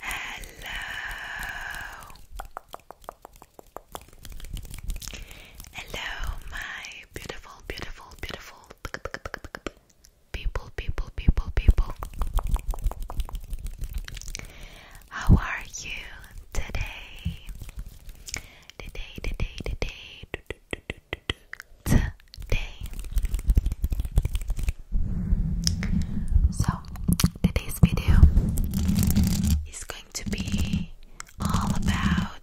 Hello. Hello, my beautiful, beautiful, beautiful people, people, people, people. How are you today? Today, today, today today. So, today's video is going to be all about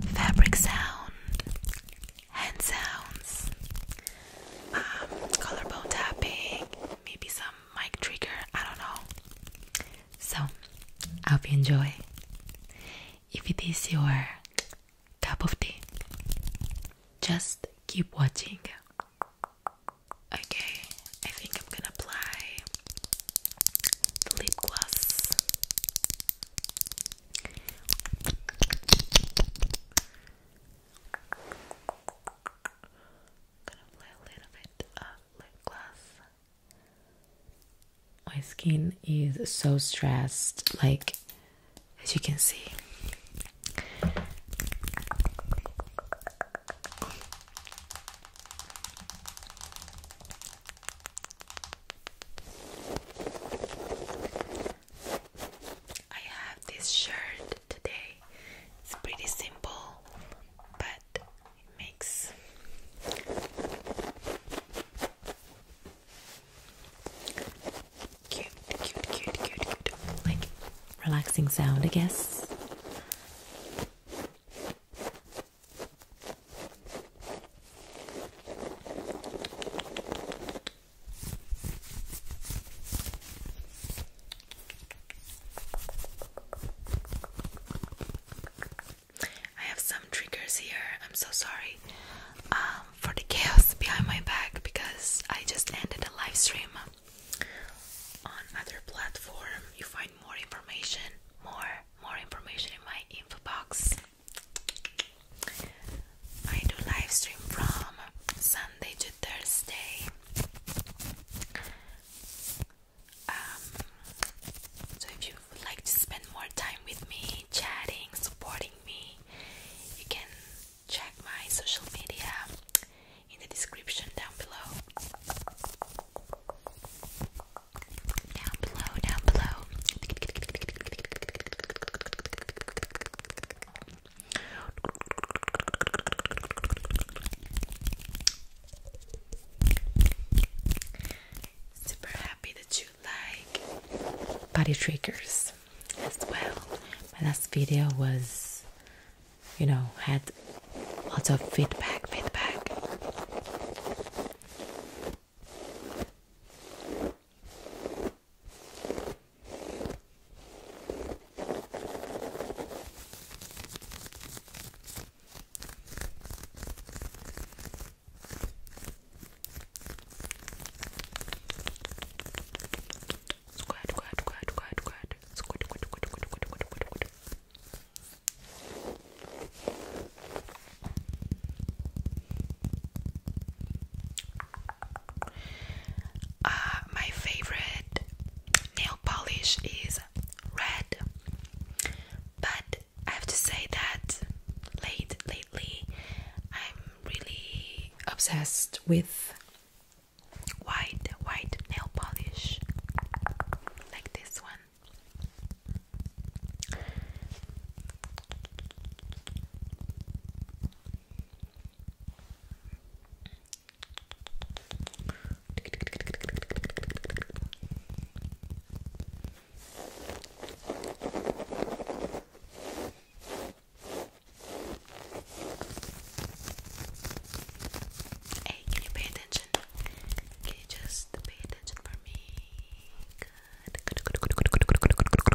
fabric sounds and sounds, um, collarbone tapping, maybe some mic trigger, I don't know. So, I hope you enjoy. If it is your cup of tea. Just keep watching. Okay, I think I'm gonna apply lip gloss. gonna apply a little bit of lip gloss my skin is so stressed, like as you can see. I have this shirt today. It's pretty simple, but it makes Cute, cute, cute, cute, cute. Like relaxing sound, I guess. I have some triggers here. I'm so sorry um, for the chaos behind my back because I just ended a live stream on other platform. You find more information, more more information in my info box. I do live stream from Sunday to Thursday. Um, so if you would like to spend more time with me, chatting, supporting watching you can check my social media in the description down below. Down below, down below. Super happy that you like body triggers as well. My last video was, you know, had lots of feedback, feedback. Squad, squad, squad, squad, squad. Squad, squad, squad, squad, squad, squad, squad, squad. Uh, my favorite nail polish is red, but I have to say that late lately I'm really obsessed with white white nail polish like this one. Hey, can you pay attention? Can you just pay attention for me? Good. Good, good, good, good, good, good, good, good, good, good.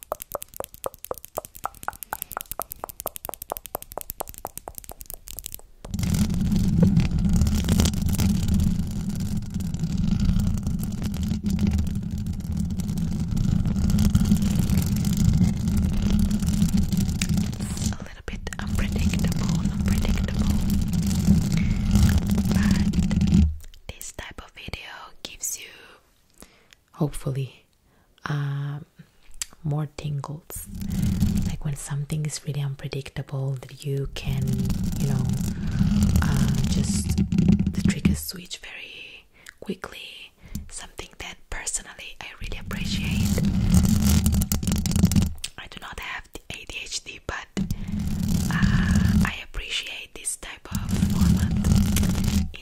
It's a little bit unpredictable, unpredictable, but this type of video gives you hopefully um, more tingles like when something is really unpredictable that you can you know uh, just the triggers switch very quickly something that personally i really appreciate i do not have the adhd but uh, i appreciate this type of format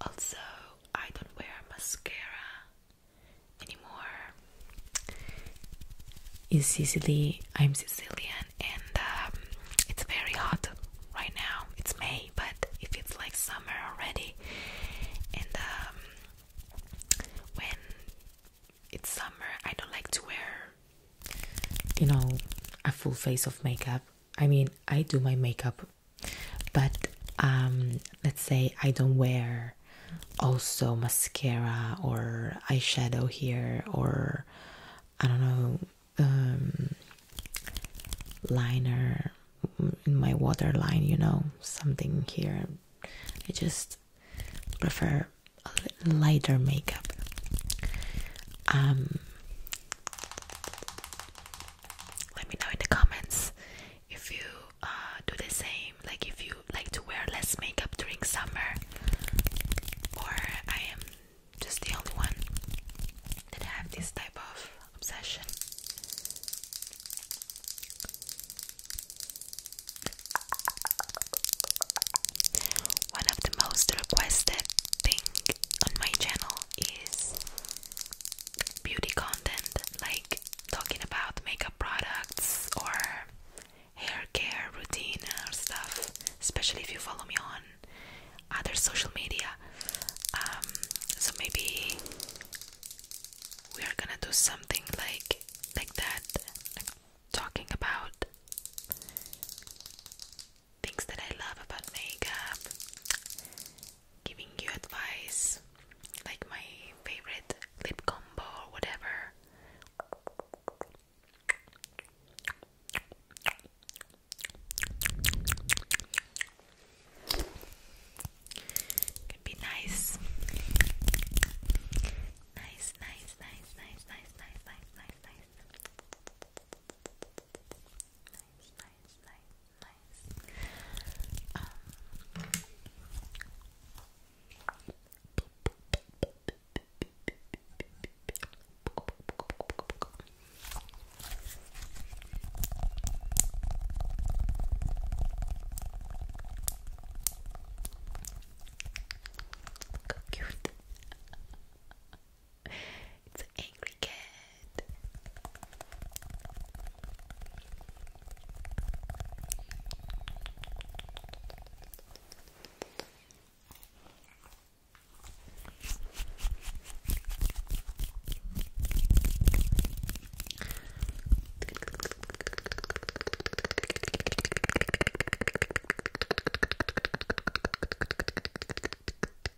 Also, I don't wear mascara anymore. In Sicily, I'm Sicilian, and um, it's very hot right now. It's May, but it feels like summer already. And um, when it's summer, I don't like to wear, you know, a full face of makeup. I mean, I do my makeup, but um, let's say I don't wear also mascara or eyeshadow here, or I don't know, um, liner in my waterline, you know, something here. I just prefer a lighter makeup. Um, let me know in the comments if you uh, do the same, like if you like to wear less makeup during summer, or I am just the only one that have this type of obsession. One of the most requested thing on my channel is beauty content like talking about makeup products or hair care routine or stuff especially if you follow me on other social media um, so maybe we are gonna do something like like that like talking about things that I love about makeup, giving you advice, like my favorite lip combo or whatever. Could be nice. Nice, nice, nice, nice, nice, nice, nice, nice, nice nice, nice, nice, nice. Um, Look how cute. It's an angry cat.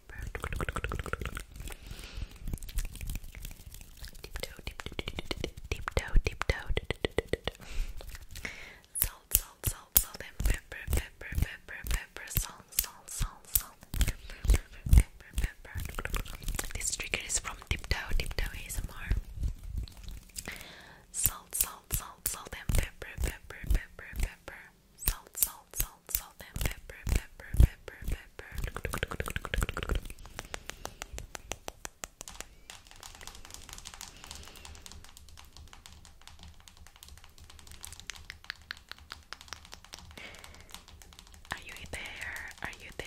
deep This trigger is from Deep-toe, deep-toe Salt, salt, Salt, salt salt, salt, salt, and pepper, pepper, pepper, pepper. Are you there? Are you there?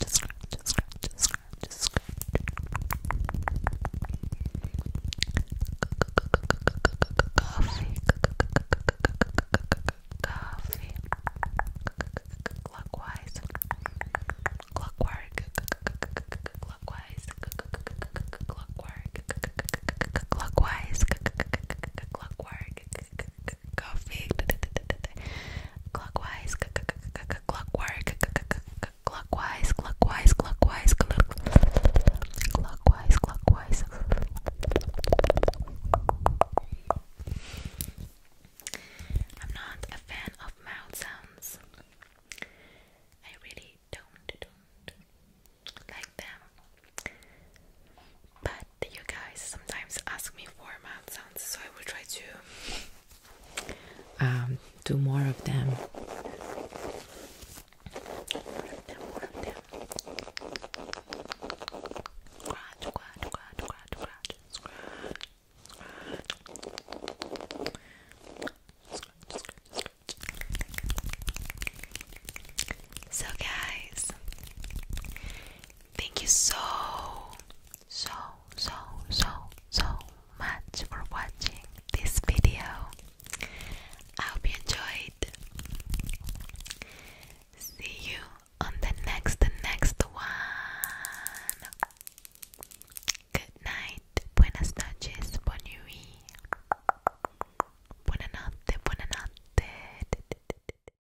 just scratch, just scratch, just scratch, just scratch. Coffee, coffee, clockwise, clockwork, clockwise, clockwork, clockwise, clockwork coffee clockwise clockwise clockwise clockwise clockwise clockwise I'm not a fan of mouth sounds. I really don't like them. But you guys sometimes ask me for mouth sounds, so I will try to um, do more of them. So, guys, Thank you so, so, so, so, so much for watching this video. I hope you enjoyed. See you on the next, the next one. Good night, buenas noches, bon nuit. Buena notte, buena notte.